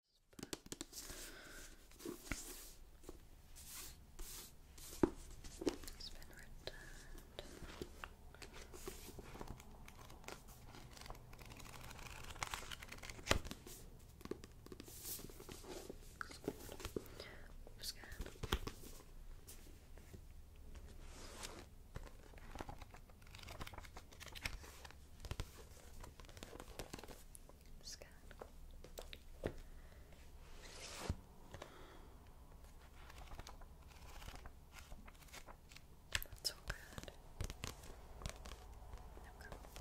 He's been returned. Scan scan. That's all good.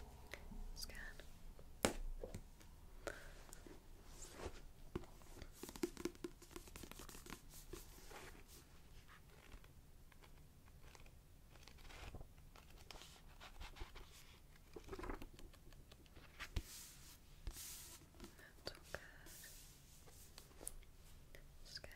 Okay. Scan. Okay. That's all good. That's good. Okay.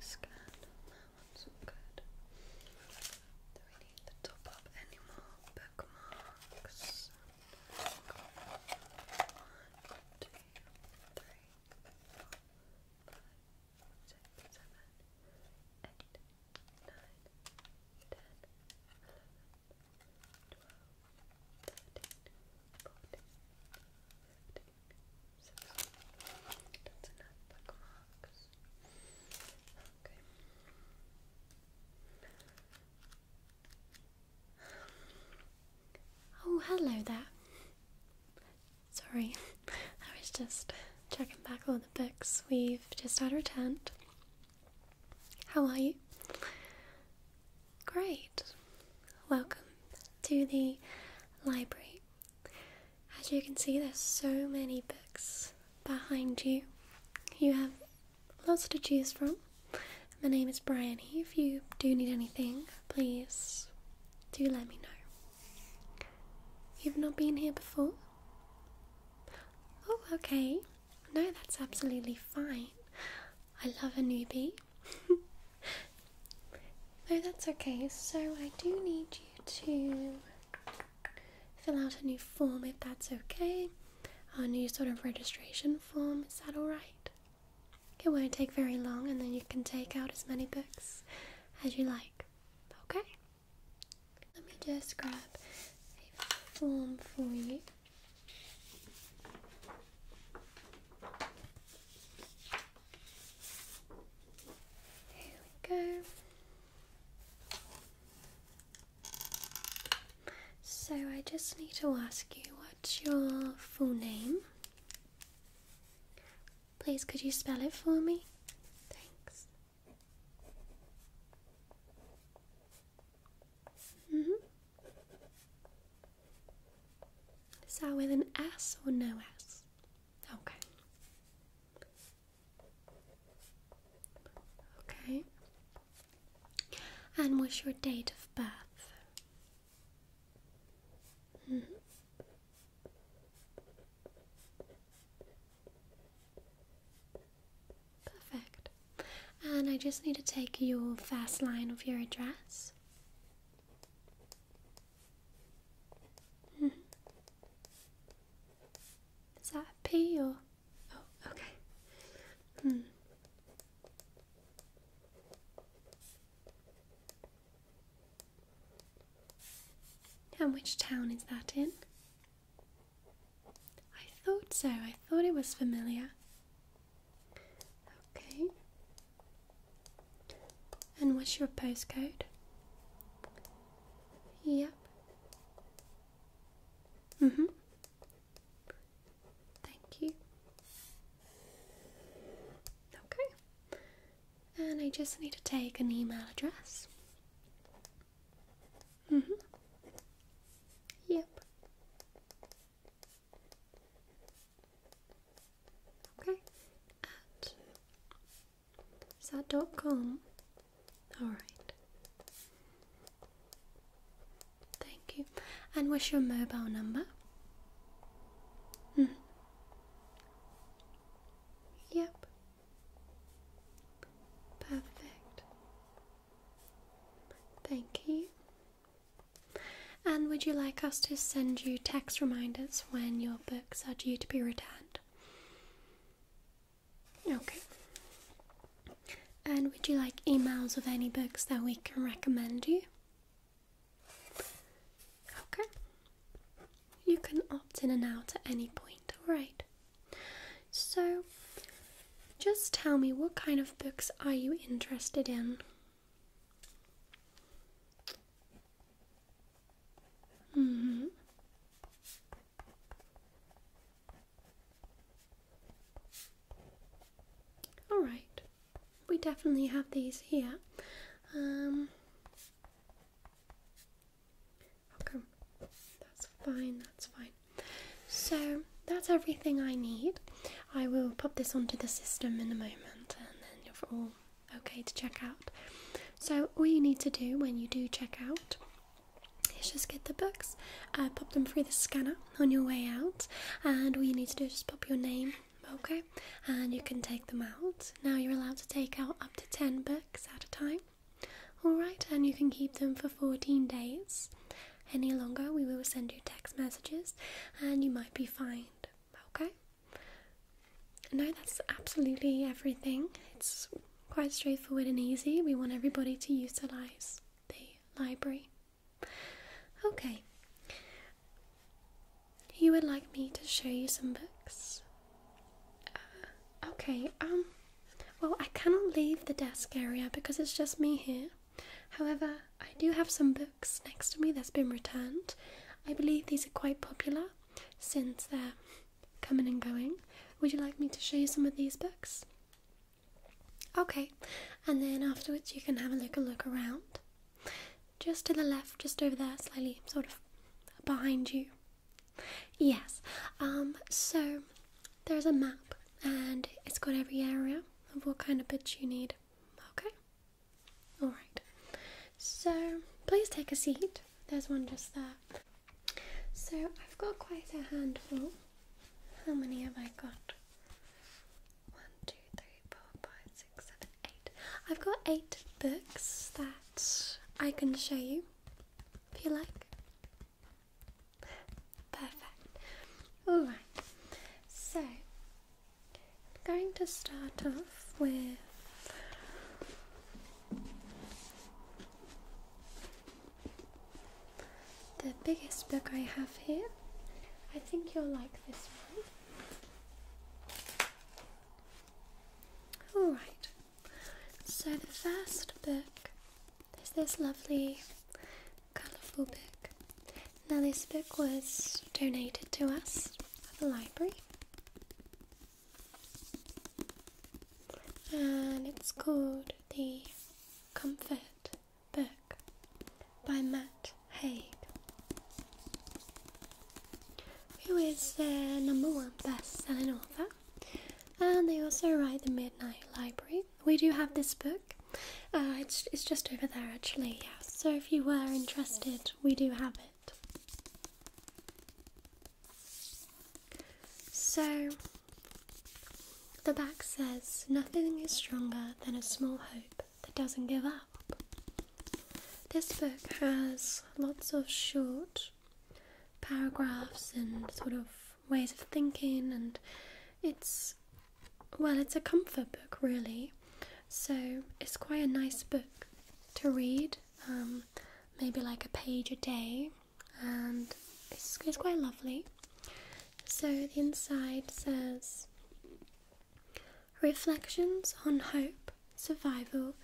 Scan, that one's good. Do we need to top up any more bookmarks? One, two, three, four, five, six, seven, eight, nine, ten, eleven, twelve, thirteen, fourteen, fifteen. Oh, hello there. Sorry, I was just checking back on the books we've just had returned. How are you? Great. Welcome to the library. As you can see, there's so many books behind you. You have lots to choose from. My name is Bryony. If you do need anything, please do let me know. You've not been here before? Oh, okay. No, that's absolutely fine. I love a newbie. Oh, that's okay. So I do need you to fill out a new form if that's okay. A new sort of registration form, is that alright? It won't take very long, and then you can take out as many books as you like. Okay? Let me just grab a form for you. There we go. So I just need to ask you what's your full name? Please, could you spell it for me? Thanks. Mm -hmm. Is that with an S or no S? Okay. Okay. And what's your date of birth? Perfect. And I just need to take your first line of your address. Mm. Is that a P oh, okay. Hmm. And which town is that in? I thought so. I thought it was familiar. Okay. And what's your postcode? Yep. Mhm. Mm Thank you. Okay. And I just need to take an email address. Mhm. yep. Okay, at is dot com? All right. Thank you. And what's your mobile number? Mm. Yep. Perfect. Thank you. And would you like us to send you text reminders when your books are due to be returned? Okay. And would you like emails of any books that we can recommend you? Okay. You can opt in and out at any point, Right. So, just tell me what kind of books are you interested in? Mm-hmm. All right, we definitely have these here. Um, okay, that's fine, that's fine. So that's everything I need. I will pop this onto the system in a moment and then you're all okay to check out. So all you need to do when you do check out is just get the books, uh, pop them through the scanner on your way out, and all you need to do is just pop your name. Okay, and you can take them out. Now you're allowed to take out up to 10 books at a time. Alright, and you can keep them for 14 days. Any longer, we will send you text messages and you might be fined. Okay? No, that's absolutely everything. It's quite straightforward and easy. We want everybody to utilize the library. Okay. You would like me to show you some books? Uh, okay, um, well, I cannot leave the desk area because it's just me here. However, I do have some books next to me that's been returned. I believe these are quite popular since they're coming and going. Would you like me to show you some of these books? Okay, and then afterwards you can have a little look around. Just to the left, just over there, slightly sort of behind you. Yes, um, so there's a map and it's got every area of what kind of bits you need. Okay, Alright, so please take a seat. There's one just there. So I've got quite a handful. How many have I got? One, two, three, four, five, six, seven, eight. I've got eight books that I can show you if you like. Perfect. Alright, so I'm going to start off with the biggest book I have here. I think you'll like this one. Alright, so the first book is this lovely, colourful book. Now, this book was donated to us at the library and it's called The Comfort Book by Matt Haig, who is the number one best selling author. And they also write The Midnight Library. We do have this book, uh, it's, it's just over there actually, yeah. So if you were interested, we do have it. So, the back says nothing is stronger than a small hope that doesn't give up. This book has lots of short paragraphs and sort of ways of thinking, and it's well, it's a comfort book, really. So it's quite a nice book to read, um, maybe like a page a day, and it's quite lovely. So the inside says Reflections on Hope, Survival,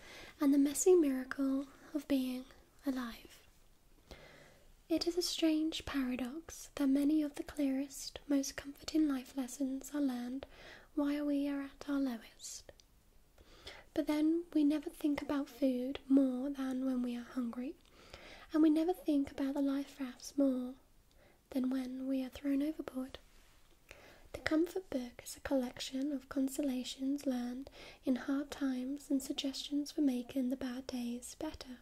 and the Messy Miracle of Being Alive. It is a strange paradox that many of the clearest, most comforting life lessons are learned while we are at our lowest. But then we never think about food more than when we are hungry, and we never think about the life rafts more than when we are thrown overboard. The Comfort Book is a collection of consolations learned in hard times and suggestions for making the bad days better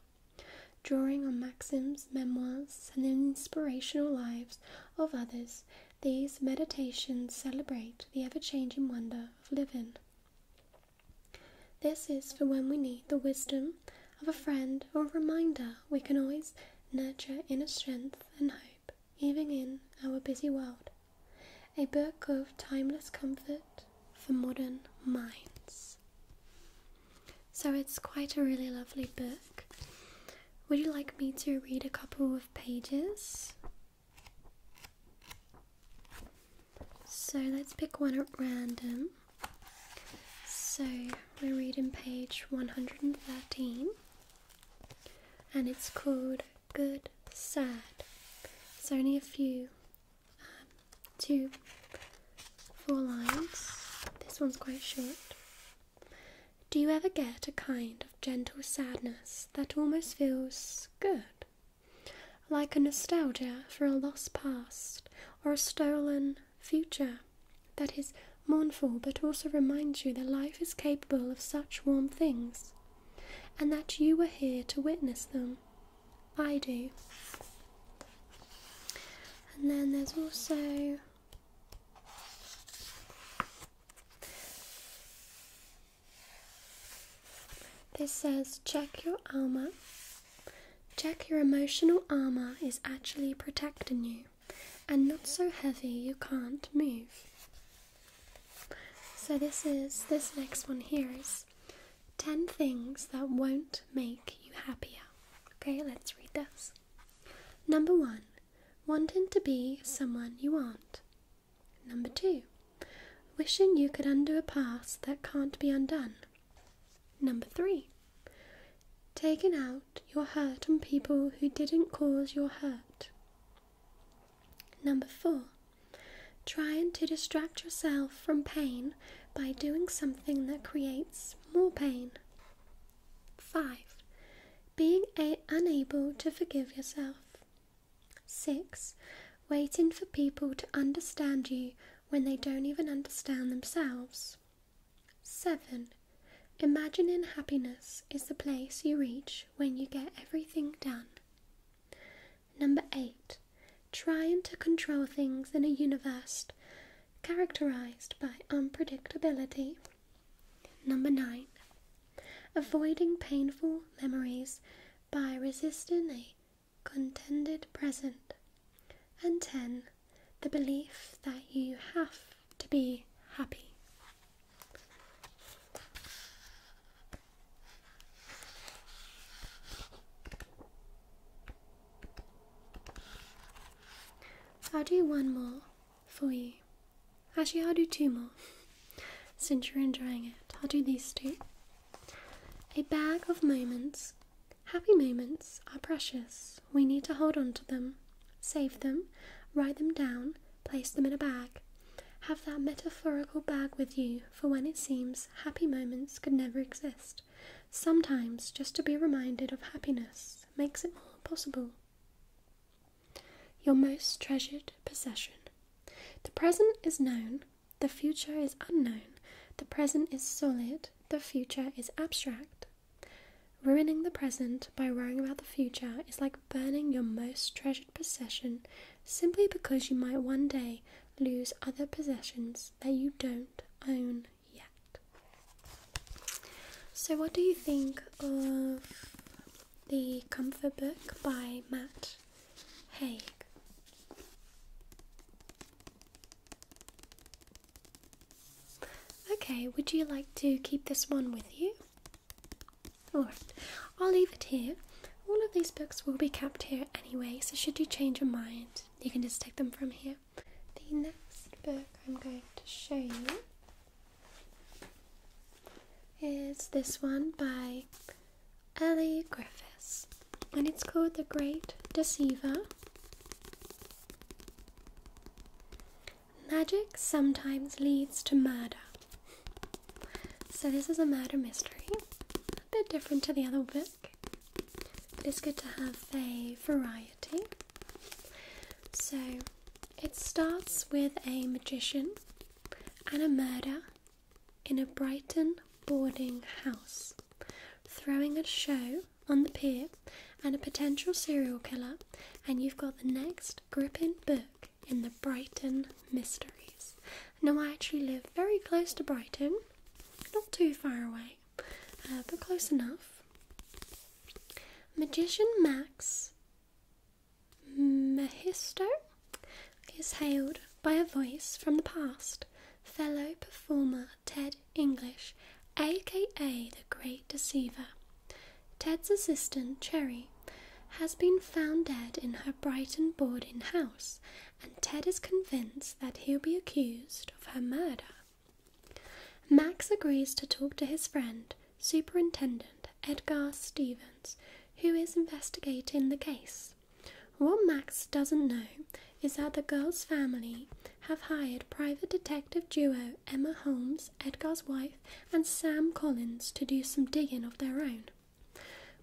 drawing on maxims, memoirs, and inspirational lives of others these meditations celebrate the ever changing wonder of living. This is for when we need the wisdom of a friend or a reminder we can always nurture inner strength and hope, even in our busy world. A book of timeless comfort for modern minds. So it's quite a really lovely book. Would you like me to read a couple of pages? So let's pick one at random. So we're reading page 113 and it's called Good Sad. It's only a few, um, two, four lines. This one's quite short. Do you ever get a kind of gentle sadness that almost feels good? Like a nostalgia for a lost past or a stolen future that is mournful but also reminds you that life is capable of such warm things and that you were here to witness them. I do. And then there's also this says check your armor. Check your emotional armor is actually protecting you and not so heavy you can't move. So this is this next one here is 10 things that won't make you happier. Okay, let's read this. Number 1, wanting to be someone you aren't. Number two, wishing you could undo a past that can't be undone. Number three, taking out your hurt on people who didn't cause your hurt. Number four, trying to distract yourself from pain by doing something that creates more pain. 5. Being unable to forgive yourself. 6. Waiting for people to understand you when they don't even understand themselves. 7. Imagining happiness is the place you reach when you get everything done. Number 8. Trying to control things in a universe characterized by unpredictability. Number nine, avoiding painful memories by resisting a contended present. And 10, the belief that you have to be happy. I'll do one more for you. Actually, I'll do two more. Since you're enjoying it, I'll do these two. A bag of moments. Happy moments are precious. We need to hold on to them, save them, write them down, place them in a bag. Have that metaphorical bag with you for when it seems happy moments could never exist. Sometimes just to be reminded of happiness makes it more possible. Your most treasured possession. The present is known, the future is unknown, the present is solid, the future is abstract. Ruining the present by worrying about the future is like burning your most treasured possession simply because you might one day lose other possessions that you don't own yet. So, what do you think of the Comfort Book by Matt Haig. Okay, would you like to keep this one with you? Alright, I'll leave it here. All of these books will be kept here anyway, so should you change your mind, you can just take them from here. The next book I'm going to show you is this one by Ellie Griffiths, and it's called The Great Deceiver. Magic sometimes leads to murder. So, this is a murder mystery, a bit different to the other book, but it's good to have a variety. So, it starts with a magician and a murder in a Brighton boarding house, throwing a show on the pier and a potential serial killer, and you've got the next gripping book in the Brighton Mysteries. Now, I actually live very close to Brighton, not too far away, uh, but close enough. Magician Max Mehisto is hailed by a voice from the past, fellow performer Ted English, aka the Great Deceiver. Ted's assistant, Cherry, has been found dead in her Brighton boarding house, and Ted is convinced that he'll be accused of her murder. Max agrees to talk to his friend, Superintendent Edgar Stevens, who is investigating the case. What Max doesn't know is that the girl's family have hired private detective duo Emma Holmes, Edgar's wife, and Sam Collins to do some digging of their own.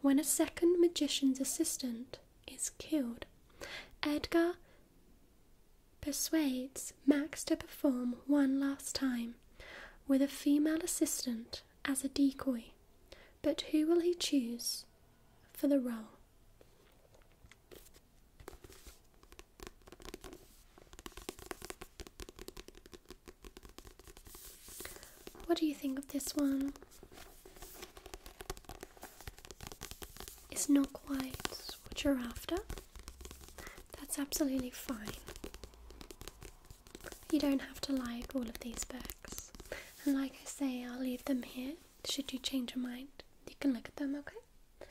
When a second magician's assistant is killed, Edgar persuades Max to perform one last time with a female assistant as a decoy, but who will he choose for the role? What do you think of this one? It's not quite what you're after. That's absolutely fine. You don't have to like all of these books. And like I say, I'll leave them here. Should you change your mind, you can look at them, okay?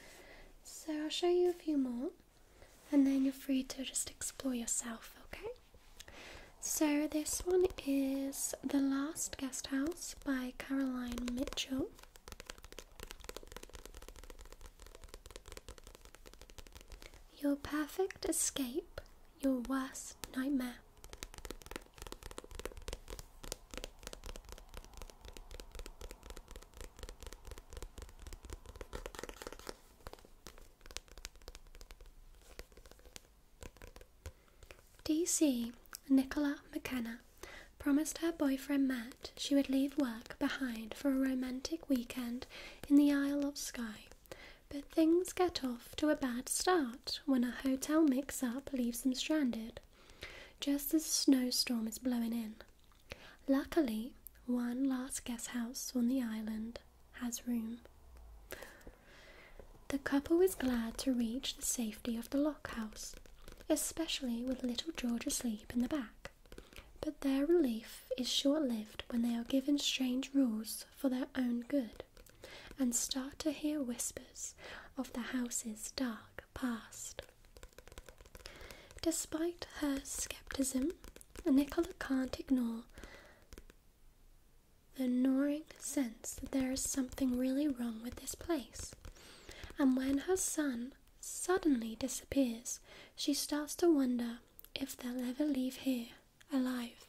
So I'll show you a few more and then you're free to just explore yourself, okay? So this one is The Last Guest House by Caroline Mitchell. Your perfect escape, your worst nightmare. DC Nicola McKenna promised her boyfriend Matt she would leave work behind for a romantic weekend in the Isle of Skye, but things get off to a bad start when a hotel mix up leaves them stranded, just as a snowstorm is blowing in. Luckily, one last guest house on the island has room. The couple was glad to reach the safety of the lock house, especially with little George asleep in the back. But their relief is short lived when they are given strange rules for their own good and start to hear whispers of the house's dark past. Despite her skepticism, Nicola can't ignore the gnawing sense that there is something really wrong with this place. And when her son suddenly disappears, she starts to wonder if they'll ever leave here alive.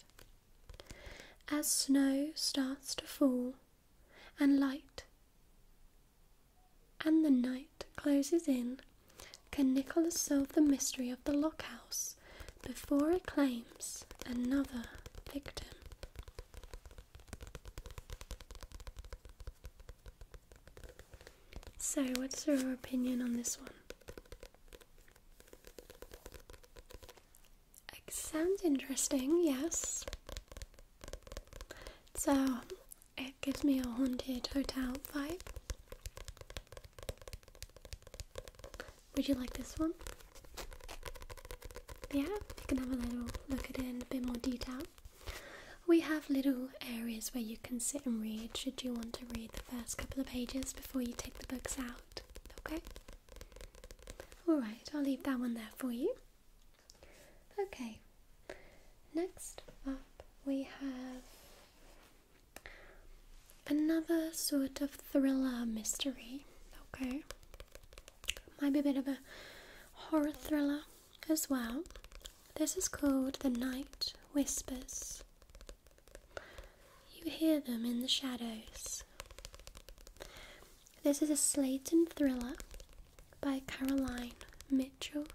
As snow starts to fall, and light and the night closes in, can Nicholas solve the mystery of the lock house before it claims another victim? So, what's your opinion on this one? It sounds interesting, yes. So, it gives me a haunted hotel vibe. Would you like this one? Yeah, you can have a little look at it in a bit more detail we have little areas where you can sit and read should you want to read the first couple of pages before you take the books out. Okay? Alright, I'll leave that one there for you. Okay, next up we have another sort of thriller mystery. Okay, might be a bit of a horror thriller as well. This is called the night whispers. You hear them in the shadows. This is a slating thriller by Caroline Mitchell.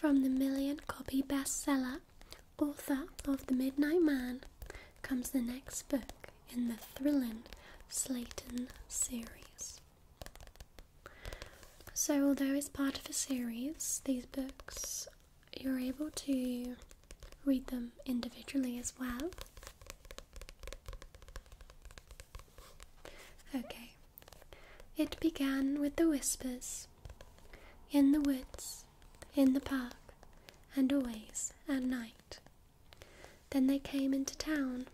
From the million copy bestseller, author of The Midnight Man, comes the next book in the thrilling Slayton series. So, although it's part of a series, these books you're able to read them individually as well. Okay, it began with the whispers in the woods, in the park, and always at night. Then they came into town,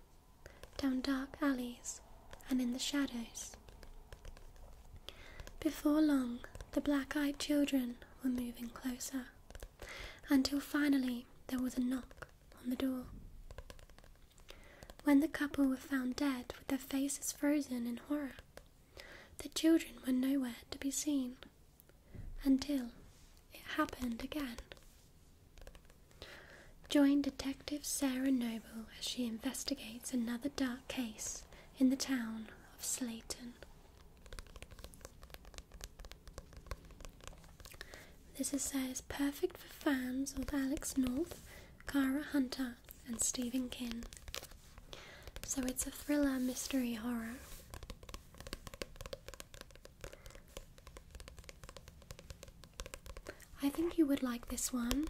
down dark alleys, and in the shadows. Before long, the black eyed children were moving closer, until finally there was a knock on the door. When the couple were found dead with their faces frozen in horror, the children were nowhere to be seen until it happened again. Join Detective Sarah Noble as she investigates another dark case in the town of Slayton. This essay is perfect for fans of Alex North, Cara Hunter, and Stephen King. So it's a thriller, mystery, horror. I think you would like this one.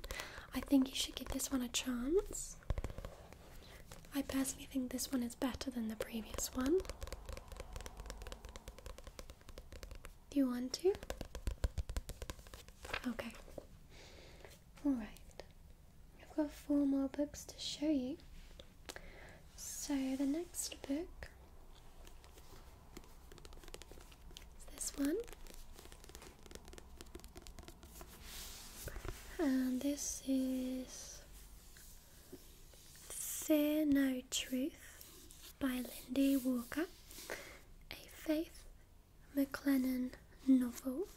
I think you should give this one a chance. I personally think this one is better than the previous one. Do you want to? Okay. Alright, I've got four more books to show you. So the next book is this one. And this is Fear No Truth by Lindy Walker, a faith McLennan novel.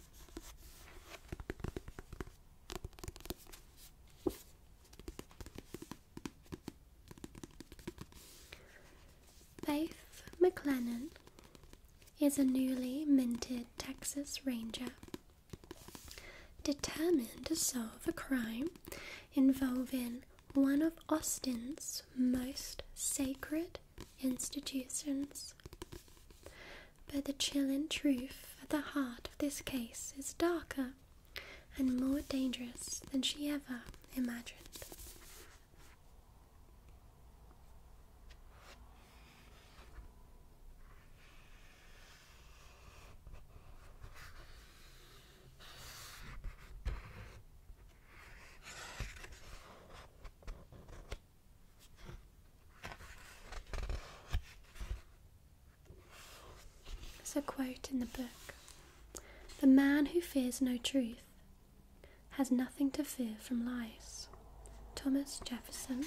Faith McLennan is a newly minted Texas Ranger determined to solve a crime involving one of Austin's most sacred institutions. But the chilling truth at the heart of this case is darker and more dangerous than she ever imagined. There's a quote in the book The man who fears no truth has nothing to fear from lies. Thomas Jefferson.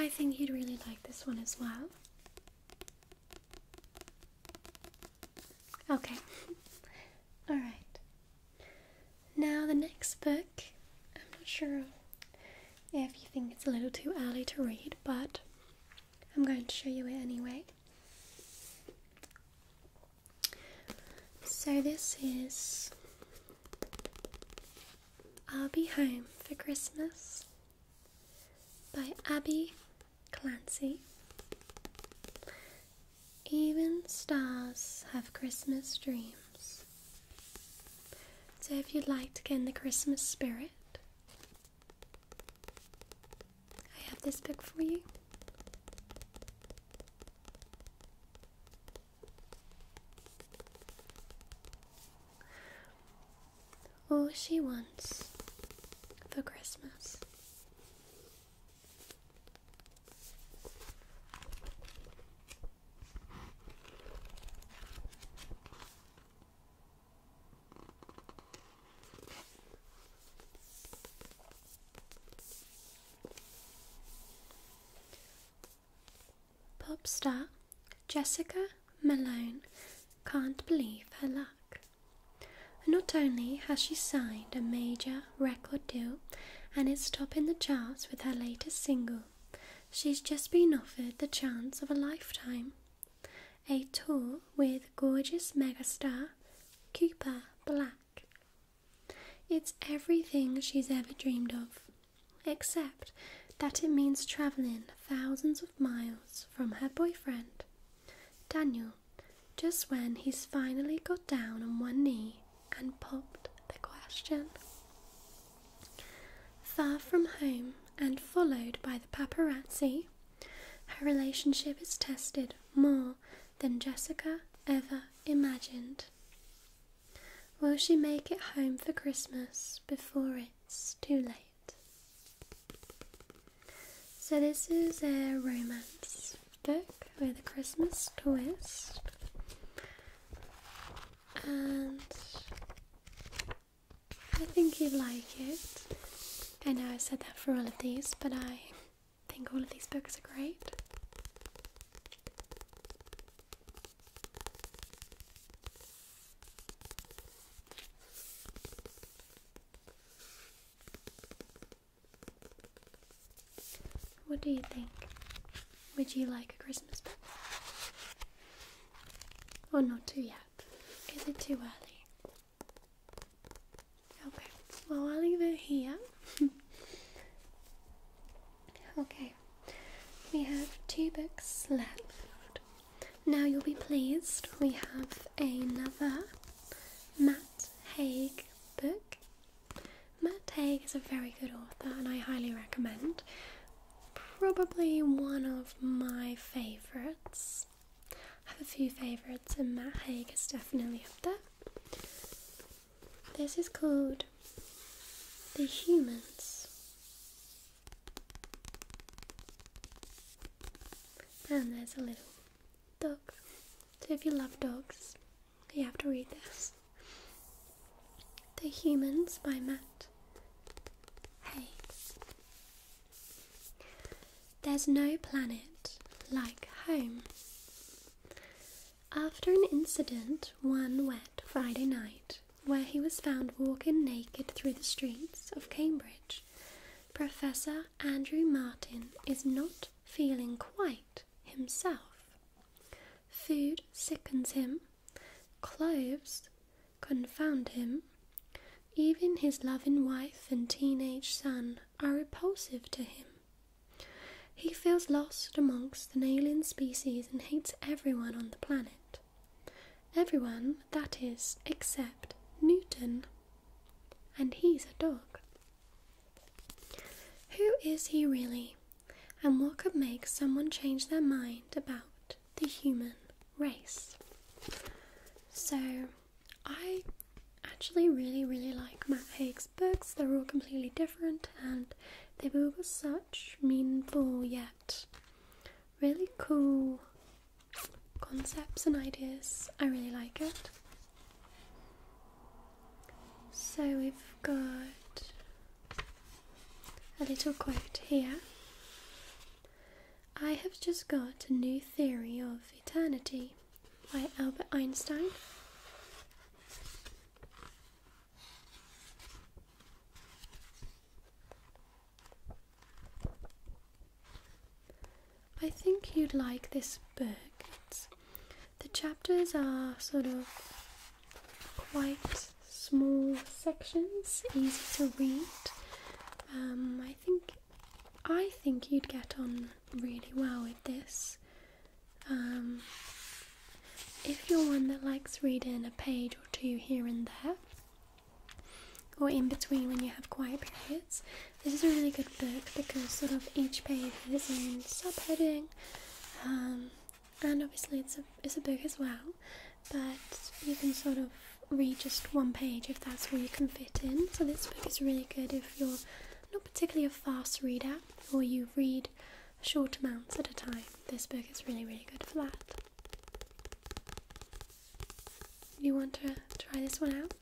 I think you'd really like this one as well. Okay, all right. Now, the next book, I'm not sure if you think it's a little too early to read, but I'm going to show you it anyway. So this is I'll Be Home for Christmas by Abby Clancy. Even stars have Christmas dreams. So if you'd like to get in the Christmas spirit, I have this book for you. All she wants for Christmas. Pop star Jessica Malone can't believe her luck. Not only has she signed a major record deal and is top in the charts with her latest single, she's just been offered the chance of a lifetime. A tour with gorgeous megastar Cooper Black. It's everything she's ever dreamed of, except that it means travelling thousands of miles from her boyfriend, Daniel, just when he's finally got down on one knee and popped the question. Far from home and followed by the paparazzi, her relationship is tested more than Jessica ever imagined. Will she make it home for Christmas before it's too late? So, this is a romance book with a Christmas twist, and I think you will like it. I know I said that for all of these, but I I think all of these books are great. What do you think? Would you like a Christmas book? Or not too yet? Is it too early? Okay, well, I'll leave it here. okay, we have two books left. Now you'll be pleased, we have another Matt Haig book. Matt Haig is a very good author and I highly recommend. Probably one of my favourites. I have a few favourites, and Matt Haig is definitely up there. This is called The Humans, and there's a little dog. So, if you love dogs, you have to read this. The Humans by Matt Haig. There's no planet like home. After an incident one wet Friday night, where he was found walking naked through the streets of Cambridge, Professor Andrew Martin is not feeling quite himself. Food sickens him, clothes confound him, even his loving wife and teenage son are repulsive to him. He feels lost amongst an alien species and hates everyone on the planet. Everyone, that is, except Newton. And he's a dog. Who is he really? And what could make someone change their mind about the human race? So, I actually really, really like Matt Haig's books. They're all completely different and they've all such meaningful yet really cool concepts and ideas. I really like it. So we've got a little quote here. I have just got a new theory of eternity by Albert Einstein. I think you'd like this book. the chapters are sort of quite small sections, easy to read. Um, I think I think you'd get on really well with this. Um, if you're one that likes reading a page or two here and there, or in between when you have quiet periods, this is a really good book because sort of each page has its own subheading, um, and obviously it's a it's a book as well, but you can sort of read just one page if that's all you can fit in. So this book is really good if you're not particularly a fast reader, or you read short amounts at a time, this book is really, really good for that. You want to try this one out?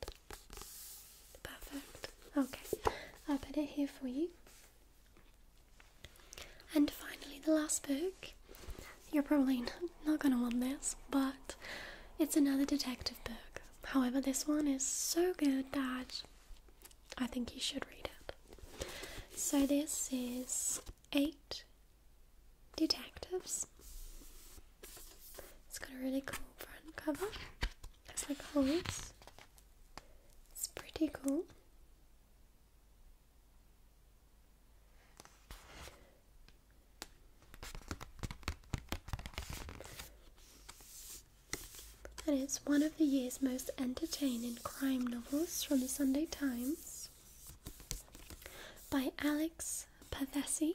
Perfect. Okay, I'll put it here for you. And finally, the last book. You're probably not, not going to want this, but it's another detective book. However, this one is so good that I think you should read it. So, this is Eight Detectives. It's got a really cool front cover. It's like holes. It's pretty cool and it's one of the year's most entertaining crime novels from the Sunday Times by Alex Pavesi.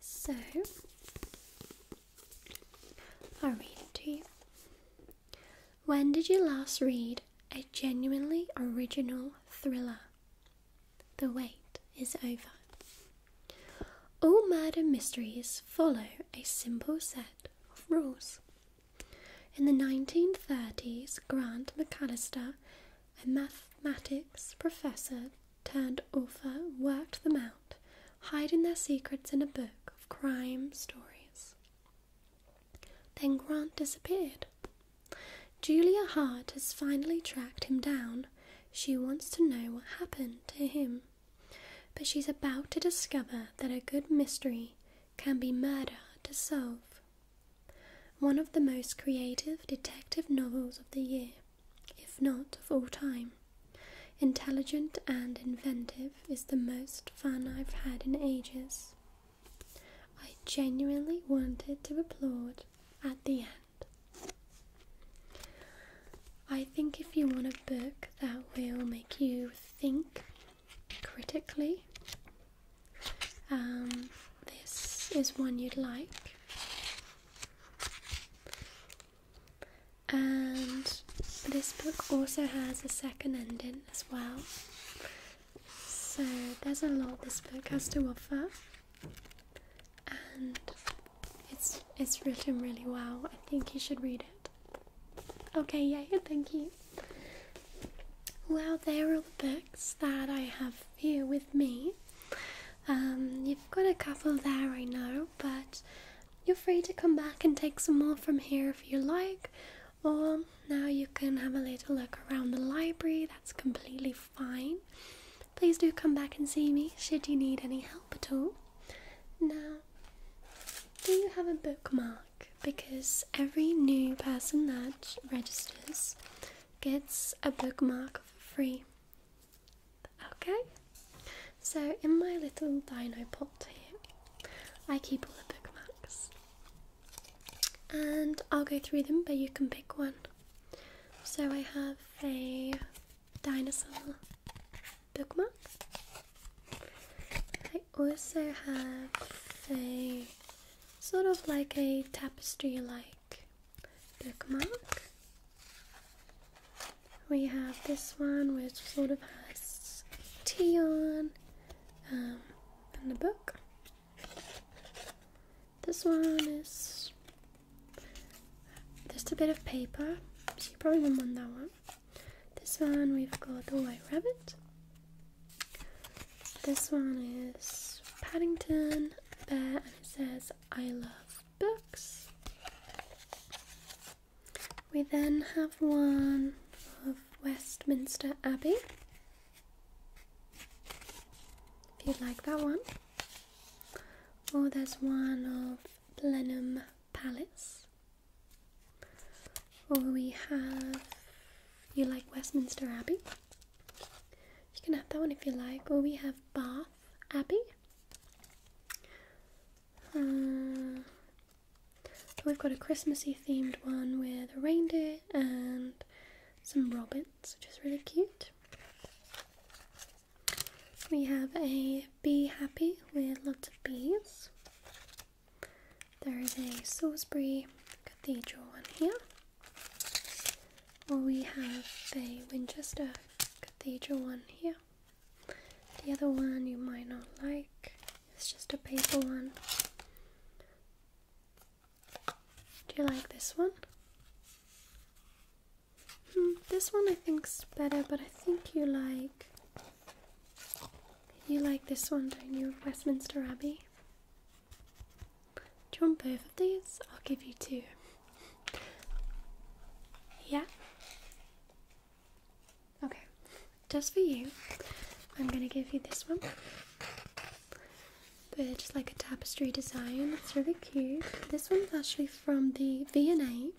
So, I'll read it to you. When did you last read a genuinely original thriller? The wait is over. All murder mysteries follow a simple set of rules. In the 1930s, Grant McAllister, a mathematics professor turned author, worked them out, hiding their secrets in a book of crime stories. Then Grant disappeared. Julia Hart has finally tracked him down she wants to know what happened to him. But she's about to discover that a good mystery can be murder to solve. One of the most creative detective novels of the year, if not of all time. Intelligent and inventive is the most fun I've had in ages. I genuinely wanted to applaud at the end. I think if you want a book that will make you think critically, um, this is one you'd like. And this book also has a second ending as well. So there's a lot this book has to offer and it's it's written really well. I think you should read it. Okay, yeah, thank you. Well, there are the books that I have here with me. Um, you've got a couple there, I know, but you're free to come back and take some more from here if you like. Or now you can have a little look around the library, that's completely fine please do come back and see me should you need any help at all. Now, do you have a bookmark? Because every new person that registers gets a bookmark for free. Okay? So, in my little dino pot here, I keep all the bookmarks. And I'll go through them, but you can pick one. So I have a dinosaur bookmark. I also have a sort of like a tapestry like bookmark. We have this one which sort of has tea on um, and book. This one is just a bit of paper, so you probably won't want that one. This one we've got the White Rabbit. This one is Paddington Bear, and it says I love books. We then have one of Westminster Abbey. If you like that one. Oh, there's one of Blenheim Palace. Or we have, you like Westminster Abbey? You can have that one if you like. Or we have Bath Abbey. Uh, we've got a Christmassy themed one with a reindeer and some robins, which is really cute. We have a Bee Happy with lots of bees. There is a Salisbury Cathedral one here. Or we have a Winchester Cathedral one here. The other one you might not like. It's just a paper one. Do you like this one? Hmm, this one I think's better, but I think you like you like this one, don't you? Westminster Abbey. Do you want both of these? I'll give you two. Yeah. Okay, just for you, I'm gonna give you this one. But just like a tapestry design, it's really cute. This one's actually from the V&A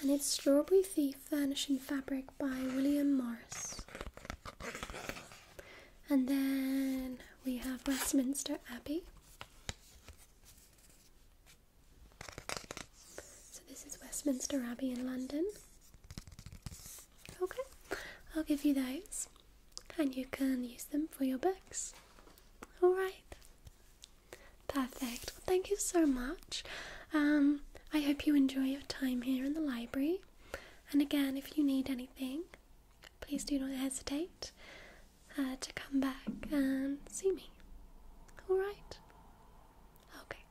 and it's Strawberry Thief Furnishing Fabric by William Morris. And then we have Westminster Abbey. So this is Westminster Abbey in London. Okay, I'll give you those and you can use them for your books. Alright. Perfect. thank you so much. Um, I hope you enjoy your time here in the library. And again, if you need anything, please do not hesitate uh, to come back and see me. Alright? Okay.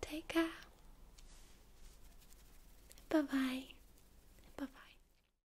Take care. Bye bye. Bye bye.